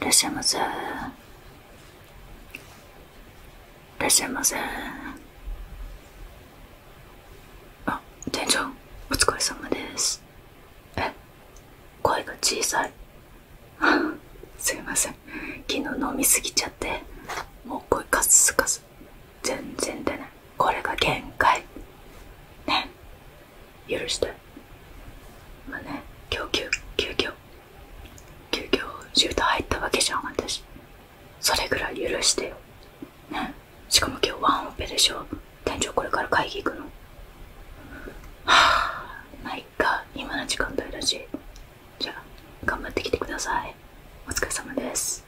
いらっしゃいませいらっしゃいませあ店長お疲れ様ですえ声が小さい すいません昨日飲みすぎちゃってもう声カスカス全然出ないこれが限界ね許してまあね今日急遽急遽シュート入ったわけじゃん私それぐらい許してよねしかも今日ワンオペでしょ店長これから会議行くのはあないか今の時間帯だしじゃあ頑張ってきてくださいお疲れ様です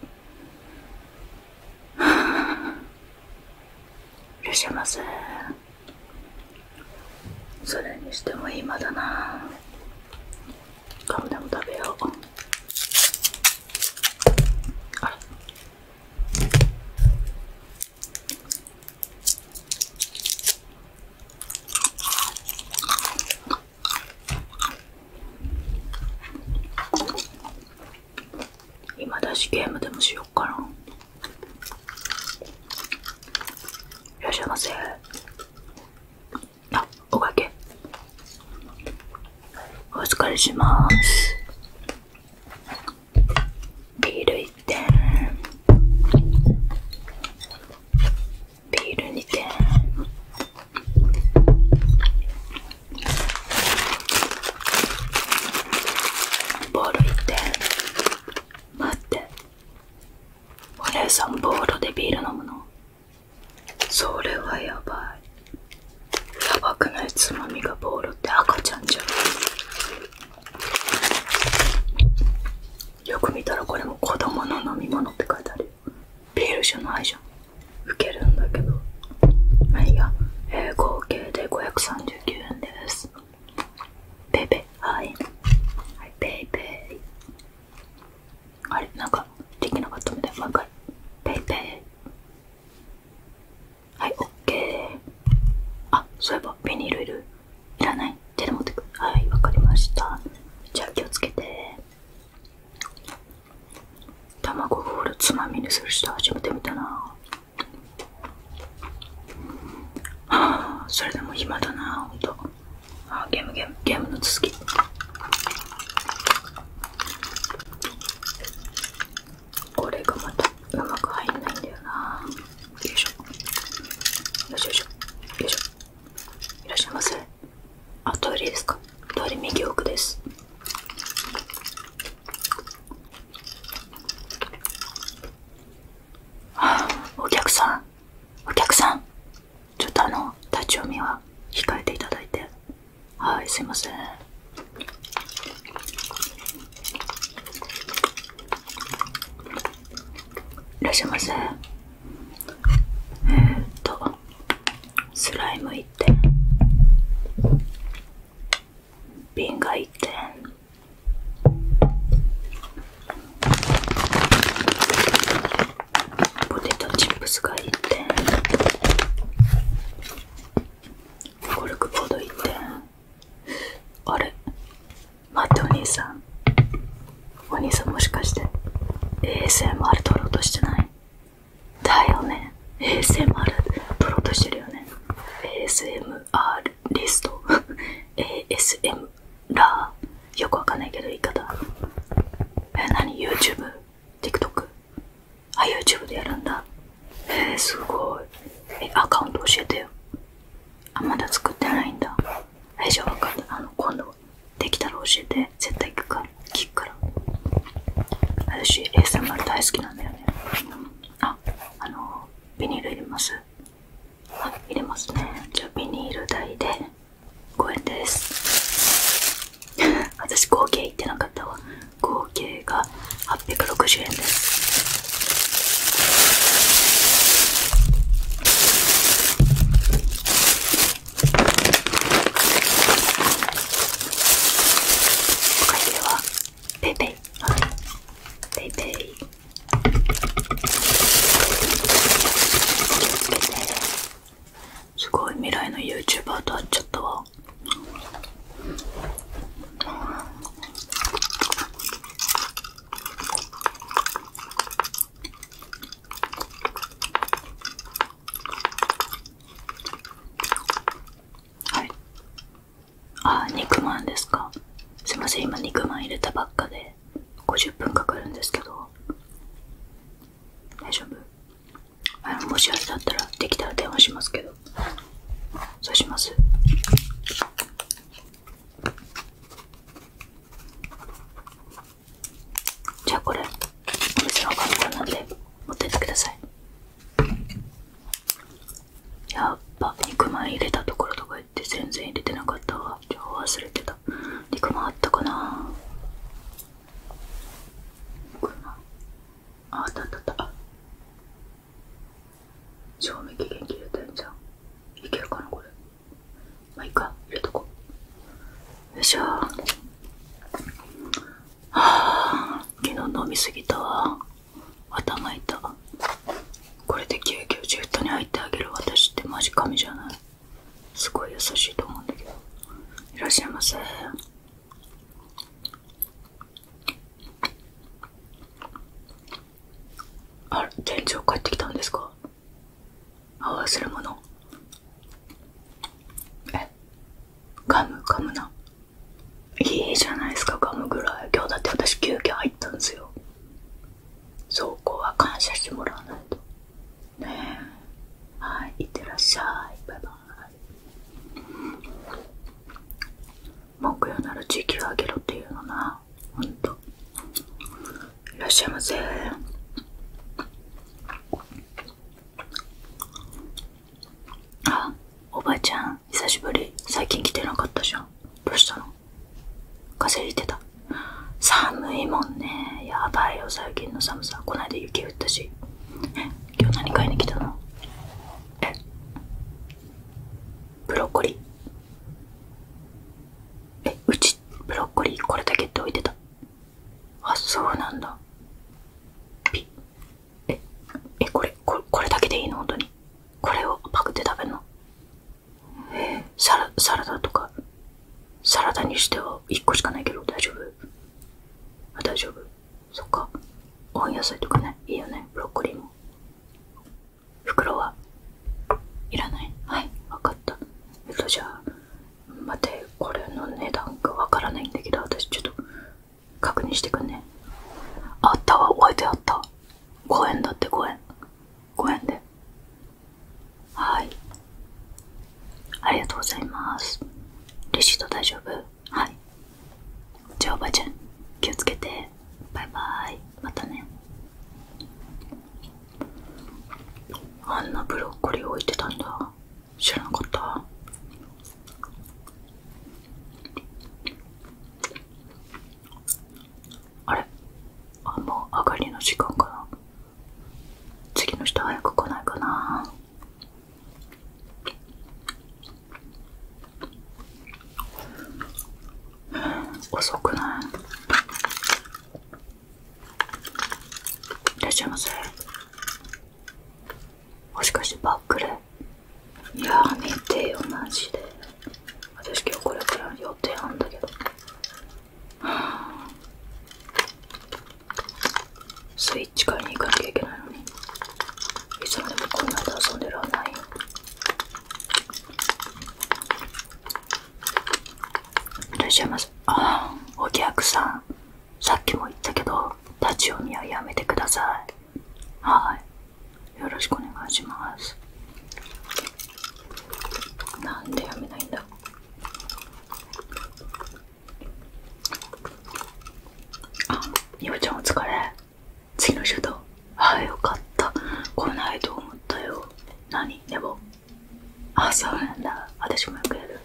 いらっしゃいませそれにしても今だなガムでも食べようあれ今だしゲームでもしよっかな。いらっしゃいませ。あ、おかけ。お疲れします。ビール1点。ビール2点。ボールって。待ってお姉さんボールでビール飲むのそれはやばいやばくないつまみがボールって赤ちゃんじゃんよく見たらこれも子供の飲み物って書いてあるビールじゃないじゃん受けるんだけどまあいいや、えー、合計で539円ですペイペイはいはいペイペイあれなんかできなかったみたいもう一ペイペイはいオッケーあそういえばビニールいるいらない手で持ってくはいわかりましたじゃあ気をつけて卵ボールつまみにする人初めてみたなあそれでも暇だなほんとあゲームゲームゲームの続きこれがまたうまく入んないんだよなよいしょよいしょよいしょいらっしゃいませあ、トイレですか通り右奥です。はあ、お客さん、お客さん、ちょっとあの、立ち読みは控えていただいて。はい、すいません。いらっしゃいませ。えっとスライム1点瓶が1点ポテトチップスが1点コルクボード1点あれ待ってお兄さんお兄さんもしかして ASMR 撮ろうとしてないだよね ASMR 撮ろうとしてるよね ASMR リスト ASM ラーよくわかんないけど言い方え何 YouTube?TikTok? あ YouTube でやるんだえー、すごいえアカウント教えてよあまだ作ってないんだえじゃあ分かったあの今度できたら教えて絶対行くから聞くから私 ASMR 大好きなんだよねああのビニール入れますあ入れますねじゃあビニール代で5円です 私合計言ってなかったわ合計が860円です会計はペイペイすごい未来の YouTuber と会っちゃったわはいあ肉まんですかすいません今肉まん入れたばっかで50分かかるんですけど大丈夫もしあれだったらできたら電話しますけどそうしますじゃあこれお店の看板なんで持ってってくださいやっぱ肉まん入れたところとか言って全然入れてなかったわ情報忘れてた肉まんあったかなあ、まんああったあったあった賞味期限切れてんじゃんいけるかなこれまあいいか入れとこうよいしょはあ昨日飲みすぎたわ頭痛これで救ジェットに入ってあげる私ってマジ神じゃないすごい優しいと思うんだけどいらっしゃいませあれ店長帰ってきたんですかあわるもの。えガムガムないいじゃないですかガムぐらい今日だって私休憩入ったんですよそこは感謝してもらわないとねえはいいってらっしゃいバイバイ木曜なら時給上げろっていうのなほんといらっしゃいませあおばちゃん久しぶり最近来てなかったじゃんどうしたの風邪ひいてた寒いもんねやばいよ最近の寒さこないだ雪降ったし今日何買いに来たのえブロッコリーえうちブロッコリーこれだけって置いてたあそうなんだええこれこれだけでいいの本当にこれをパクって食べるのサラサラダとかサラダにしては1個しかないけど大丈夫大丈夫そっか温野菜とかねいいよねブロッコリーも袋はいらないはいわかったえっとじゃあ待ってこれの値段がわからないんだけど私ちょっと確認してくんねあったわ置いてあった5円だって5円5円ではいありがとうございますレシート大丈夫はいじゃあおばあちゃん気をつけてバイバイまたねあんなブロッコリー置いてたんだ知らなかったあれあもう上がりの時間かな次の人早く来ないかなうん、遅くないいらっしゃいませもしかしてバックレいやめてよマジで私今日これから予定あんだけどスイッチ買いに行かなきゃいけないのにいつまでもこんなで遊んでるはないいらっしゃいませああお客さんさっきも言ったけど立ち読みはやめてくださいはいよろしくお願いしますなんでやめないんだあゆうちゃんお疲れ次の週だはよかった来ないと思ったよ何でもあそうなんだ私もよくやる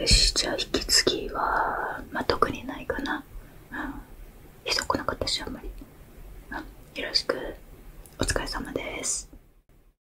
よしじゃあ引き継ぎはまあ特にないかなうん人くなかったしあんまりうんよろしくお疲れ様です